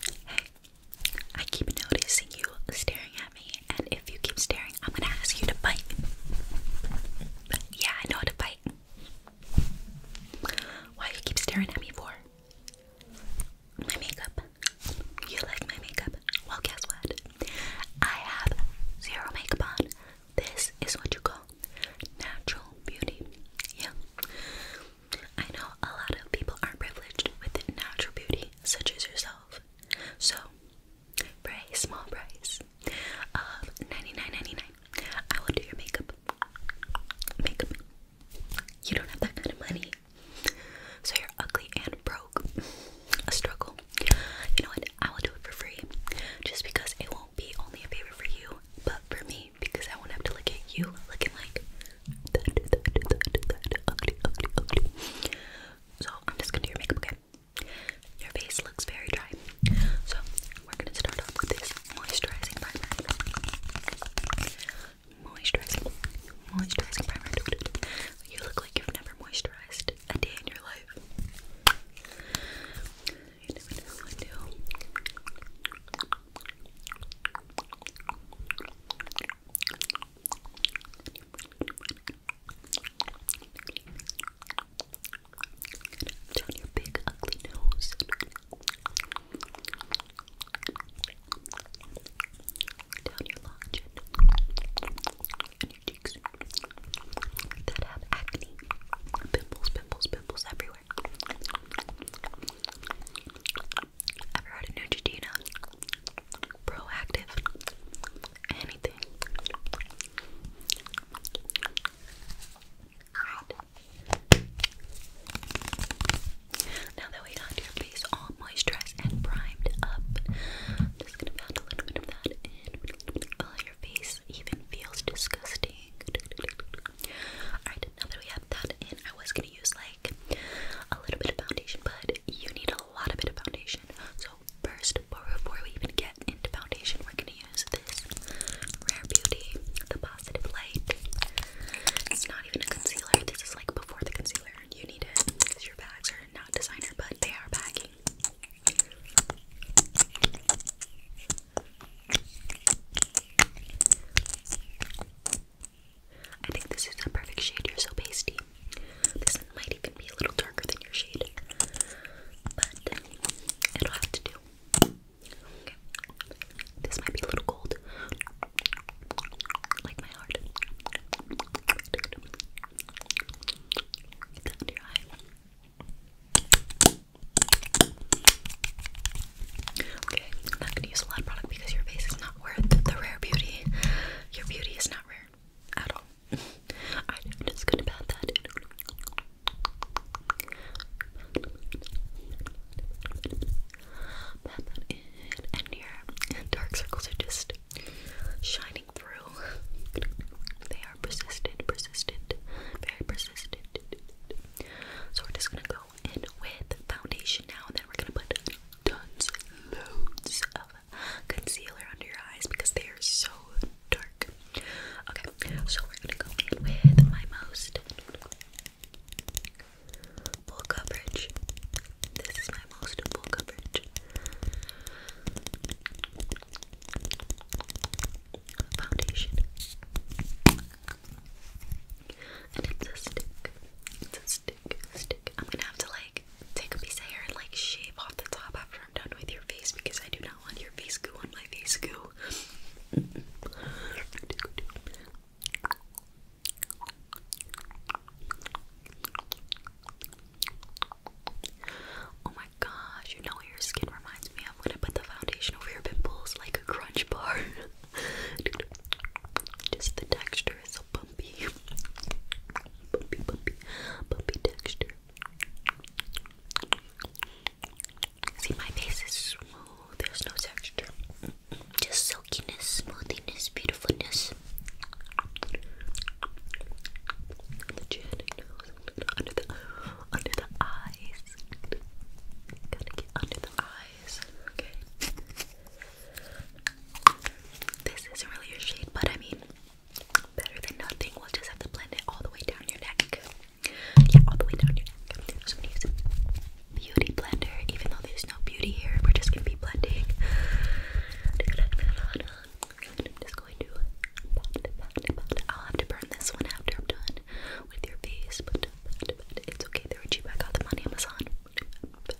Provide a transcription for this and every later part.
Hey, I keep noticing you staring at me, and if you keep staring, I'm gonna ask you to bite. Yeah, I know how to bite. Why you keep staring at me for? My makeup. You like my makeup? Well, guess what? I have zero makeup on. This is what you call natural beauty. Yeah. I know a lot of people aren't privileged with natural beauty, such as yourself. So, for a small price of 99 I will do your makeup. Makeup. You don't have that kind of money. So you're ugly and broke. A struggle. You know what? I will do it for free. Just because it won't be only a favor for you, but for me me because I won't have to look at you looking like that, that, that, that, ugly, ugly, ugly. So I'm just gonna do your makeup, okay? Your face looks very dry. So we're gonna start off with this moisturizing primer. Moisturizing, moisturizing primer. You look like you've never moisturized a day in your life. You never know what I do. your big ugly nose. Down your long chin and your cheeks that have acne, pimples, pimples, pimples everywhere. Ever heard of Neutrogena? Proactive. Anything. Now that we got your face all moisturized and primed up, I'm just gonna pound a little bit of that in. Oh, your face even feels disgusting. Alright, now that we have that in, I was gonna use like a little bit of foundation, but you need a lot of bit of foundation. So first, before we even get into foundation, we're gonna use this Rare Beauty, the Positive Light. It's not even a concealer. This is like before the concealer. You need it because your bags are not designer, but they are bagging. I think this is the perfect shade. You're so pasty. This might even be a little darker than your shade, but it'll have to do. Okay. This might be a little cold, like my heart. under your eye. Okay, I'm not gonna use a lot of product because your face is not worth the rare beauty. Your beauty is not rare at all. I'm just gonna pat that in. Pat that and dark circles are just shining through. They are persistent, persistent, very persistent. So we're just gonna go go in with foundation now, and then we're gonna put tons, loads of concealer under your eyes because they are so dark. Okay, so we're gonna go in with my most full coverage. This is my most full coverage foundation. And it's a stick. It's a stick. Stick. I'm gonna have to like take a piece of hair and like shave off the top after I'm done with your face because I do not want your face goo on my face goo. Oh my gosh, you know what your skin reminds me of when I put the foundation over your pimples like a crunch bar. Just the texture is so bumpy. Bumpy, bumpy, bumpy texture. See, my face is smooth. There's no texture. Just silkiness, smoothiness, beautifulness. The chin, nose, under the under the eyes. Gotta get under eyes. Okay. This isn't really your shade, but I mean, better than nothing. We'll just have to blend it all the way down your neck. Yeah, all the way down your neck. So use beauty blender, even though there's no beauty here. We're just gonna be blending. I'm just going to. I'll have to burn this one after I'm done with your face, but, it's okay. They were cheap. I got them on Amazon. But,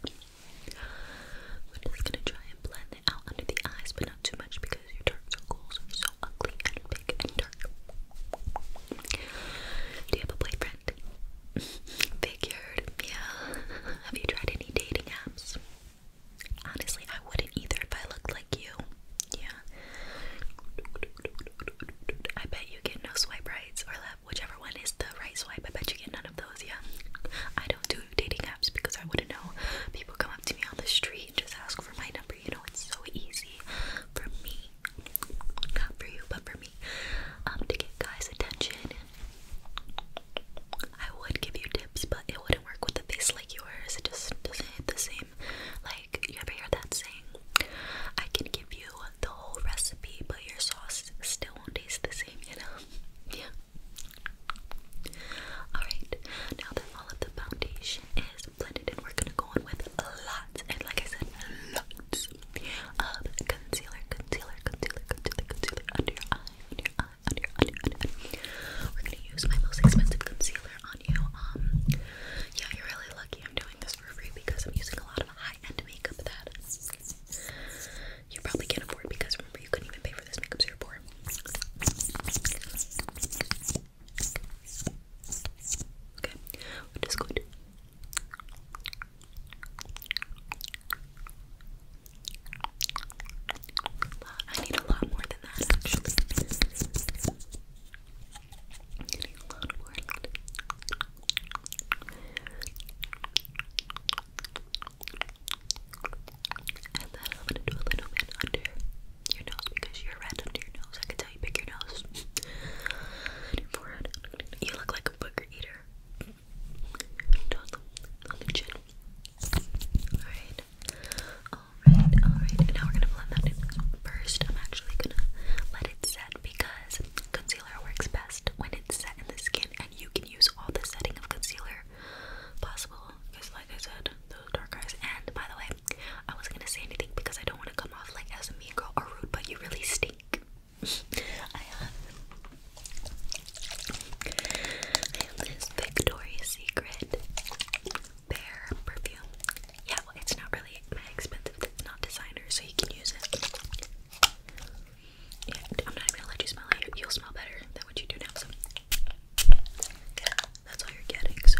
we just gonna try and blend it out under the eyes, but not too much because your dark circles are so ugly and big and dark. Do you have a boyfriend? Figured, yeah. Have you tried any dating apps? Honestly, I wouldn't either if I looked like you. Yeah, I bet you get no swipe rights or left, whichever one is the right swipe. I bet you get none of those, yeah. I don't do dating apps because I wouldn't know. People come up to me on the street and just ask for my number. You know, it's so easy for me, not for you, but for me, um, to get guys' attention. I would give you tips, but it wouldn't work with a face like yours. It just doesn't hit the same. Like you ever hear that saying? I can give you the whole recipe, but your sauce still won't taste the same, you know? yeah. Alright, now that all of the foundation is blended in, we're gonna go in with lots, and like I said, lots of concealer, concealer, concealer, concealer, concealer under your eye, under your eye, under under Under We're gonna use my most expensive concealer on you. Um, yeah, you're really lucky I'm doing this for free because I'm using a lot of high-end makeup that you probably can't afford because remember you couldn't even pay for this makeup so you're poor. Okay, just going to I need a lot more than that actually. And then I'm gonna do a little bit under your nose because you're red under your nose. I can tell you pick your nose. your forehead. You look like a booger eater. On the chin. Alright. Alright, alright. now we're gonna blend that in. First, I'm actually gonna let it set because concealer works best when it's set in the skin and you can use all the setting of concealer possible because like I said, those dark eyes and by the way, I wasn't gonna say anything because I don't want to come off like as a mean girl or rude but you really stink. Uh, I have this Victoria's Secret Bare perfume yeah, well, it's not really that expensive. It's not designer, so you can use it. I'm not gonna let you smell it. You'll smell better than what you do now. that's all you're getting. So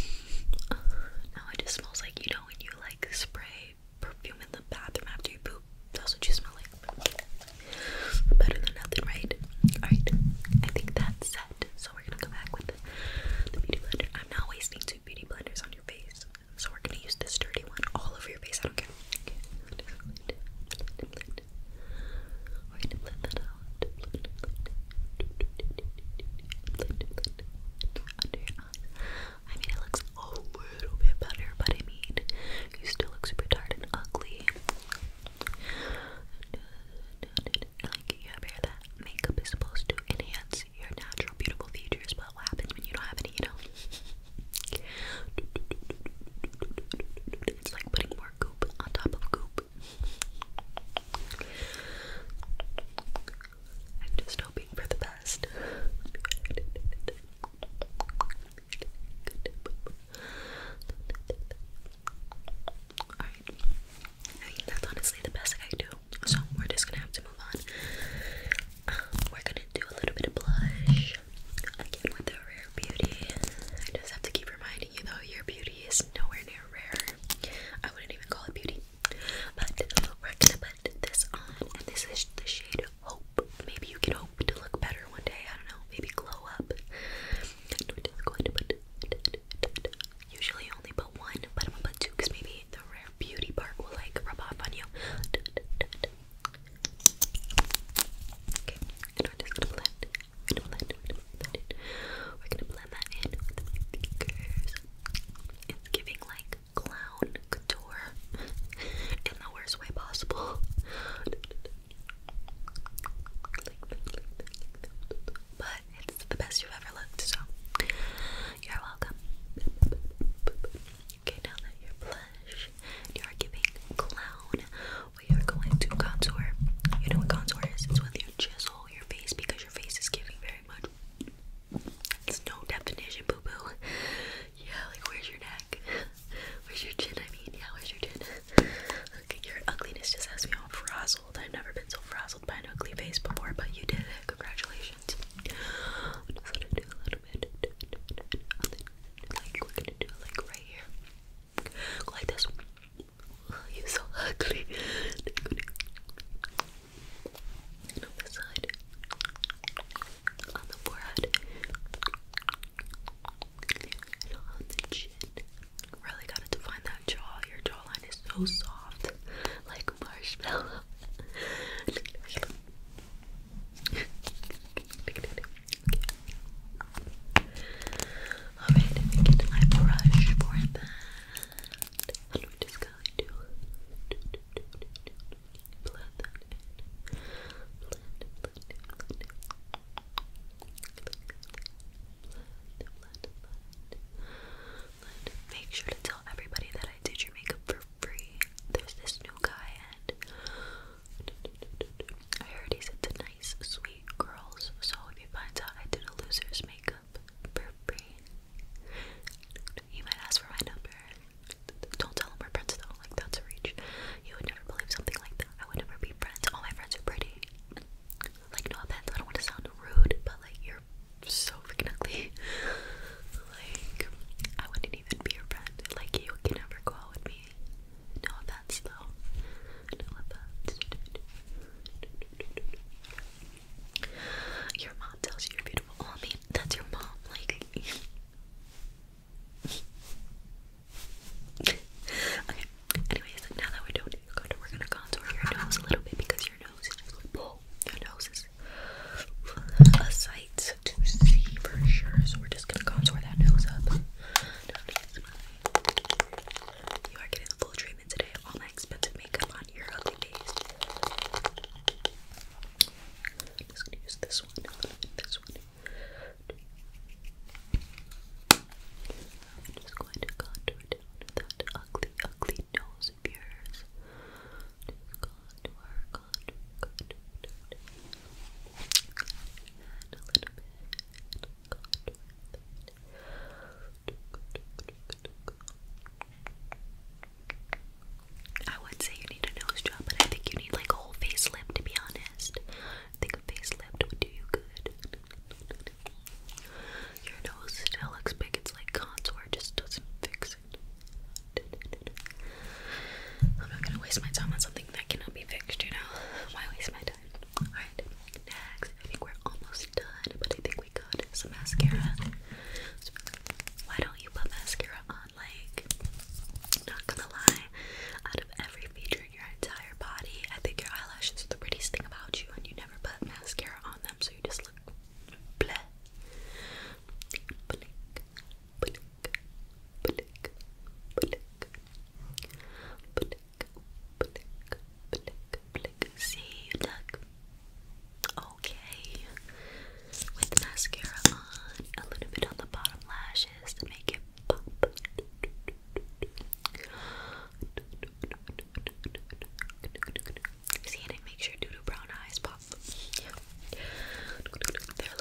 now it just smells like you know when you like spray perfume in the bathroom after you poop. That's what you smell like. Better than nothing, right? Alright, I think that's set. So we're gonna go back with the, beauty blender. I'm not wasting too beauty blenders on your face. So we're gonna use this dirty one all over your face. I don't care. I mean, it looks a little bit better, but I mean, you still look super tired and ugly. like, you that makeup is supposed to enhance your natural beautiful features, but what happens when you don't have any, you know? It's like putting more goop on top of goop. I'm just hoping for the best. Alright. that's honestly the best I can do so we're just gonna have to move on. Um, we're gonna do a little bit of blush. Again with the rare beauty. I just have to keep reminding you though, your beauty is nowhere near rare. I wouldn't even call it beauty. But we're gonna put this on, this is the shade Hope. Maybe you can hope to look better one day. I don't know. Maybe glow up. Usually, only put one, but I'm gonna put two because maybe the rare beauty part will like rub off on you. and we're just gonna blend. blend, blend We're gonna blend that in It's giving like clown couture in the worst way possible. but it's the best you've ever looked, so you're welcome. Okay, now that you're blush, you're giving clown. We are going to contour. You know what contour is? It's when you chisel your face because your face is giving very much. It's no definition, boo boo. Yeah, like where's your neck? Where's your chin? I mean, yeah, where's your chin? Okay, your ugliness just has me all frazzled. I've never been so frazzled by an ugly face before, but you did it. Congratulations. I'm gonna do a little bit. Like, we're gonna do like right here. like this. you're so ugly. on this side. On the forehead. And on the chin. Really gotta define your jawline is so soft, like marshmallow. Alright, let brush for that. And we just going to blend Make sure to tell everybody that I did your makeup for free. There's this new guy, and I heard he's into nice, sweet girls. So if he finds out I did a loser's makeup for free, he might ask for my number. Don't tell him we're friends though, like that's a reach. You would never believe something like that. I would never be friends. All my friends are pretty. Like no offense, I don't want to sound rude, but like you're so freaking ugly. like, I wouldn't even be your friend. Like, you can never go out with me. No offense, though. No offense. Your mom tells you you're beautiful. Oh, I mean, that's your mom. Like, okay. Anyways, now that we're done, we're gonna contour your nose a little bit because your nose is just like. That nose is a sight to see for sure. So we're just gonna contour that nose up. You are getting the full treatment today. All my expensive makeup on your ugly face. just gonna use this one, this one. I'm just going to contour down that ugly, ugly I would say you need a nose job, but I think you need like a whole facelift to be honest. I think a facelift would do you good. Your nose still looks big. It's like contour just doesn't fix it. I'm not gonna waste my time on something that cannot be fixed, you know? Why waste my time? Alright, next. I think we're almost done, but I think we got some mascara. why don't you put mascara on? Like, not gonna lie, out of every feature in your entire body, I think your eyelashes are the prettiest thing about you, and you never put mascara on them so you just look bleh. See, you look okay with mascara on, a little bit on the bottom lashes to make it pop. See, and it makes your doodoo brown eyes pop. They're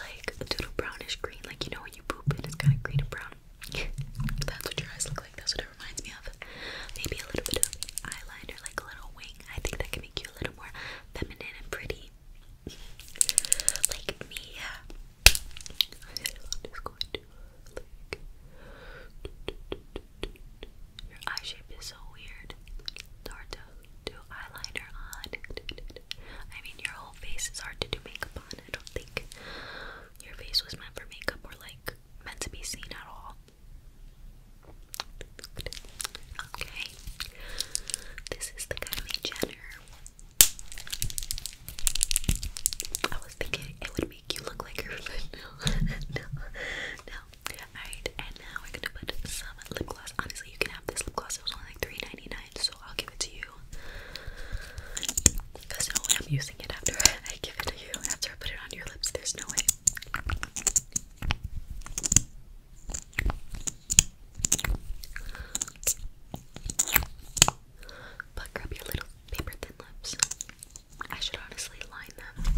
like doodoo brownish green, like you know when you poop and it's kind of green and brown. That's what your eyes look like. That's what it reminds me of. Maybe a little bit of eyeliner, like a little wing. I think that can make you a little more feminine and pretty. like me. Your eye shape is so weird. It's do eyeliner on. I mean, your whole face is hard to do makeup on. I don't think your face was meant for makeup or like meant to be seen at all. Okay, this is the Kylie Jenner. I was thinking it would make you look like her, but no, no, no. Alright, and now we're gonna put some lip gloss. Honestly, you can have this lip gloss. It was only like 3 so I'll give it to you. Because no way I'm using it after I give it to you. After I put it on your lips, there's no way. Pucker up your little paper thin lips. I should honestly line them.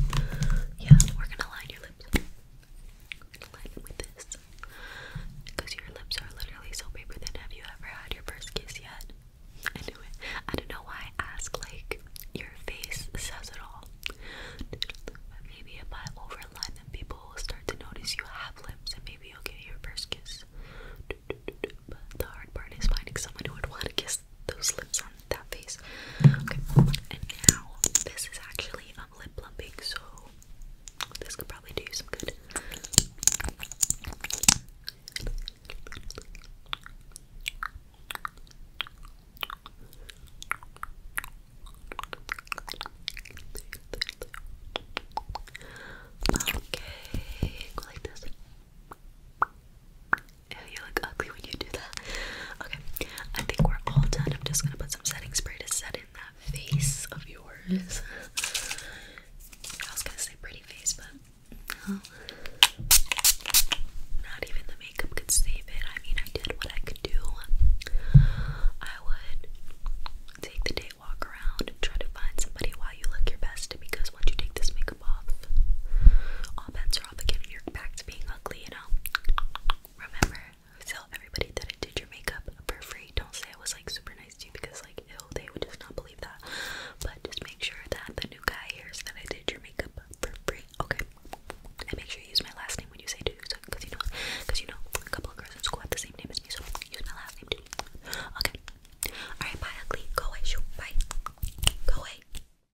Yeah, we're gonna line your lips. line with this. Because your lips are literally so paper thin. Have you ever had your first kiss yet? I knew it. I don't know why I ask, like, your face says it all. maybe if I overline them, people will start to notice you have lips and maybe you'll get your first kiss. But the hard part is finding someone who would want to kiss those lips on that face. Okay, and now this is actually a lip plumping, so this could probably do some good. Okay, go like this you look ugly when you do that. Okay, I think we're all done. I'm just gonna put some setting spray to set in that face of yours. I was gonna say pretty face, but no. Not even the makeup could save it. I mean, I did what I could do. I would take the day walk around try to find somebody while you look your best because once you take this makeup off, all bets probably getting your back to being ugly, you know? Remember, tell everybody that I did your makeup for free. Don't say I was like super nice to you because like ew, they would just not believe that. But just make sure that the new guy hears that I did your makeup for free. Okay. And make sure you use my last name when you say do because you know because you know a couple of girls in school have the same name as me, so use my last name too. Okay. Alright, bye ugly. Go away, shoot. Bye. Go away.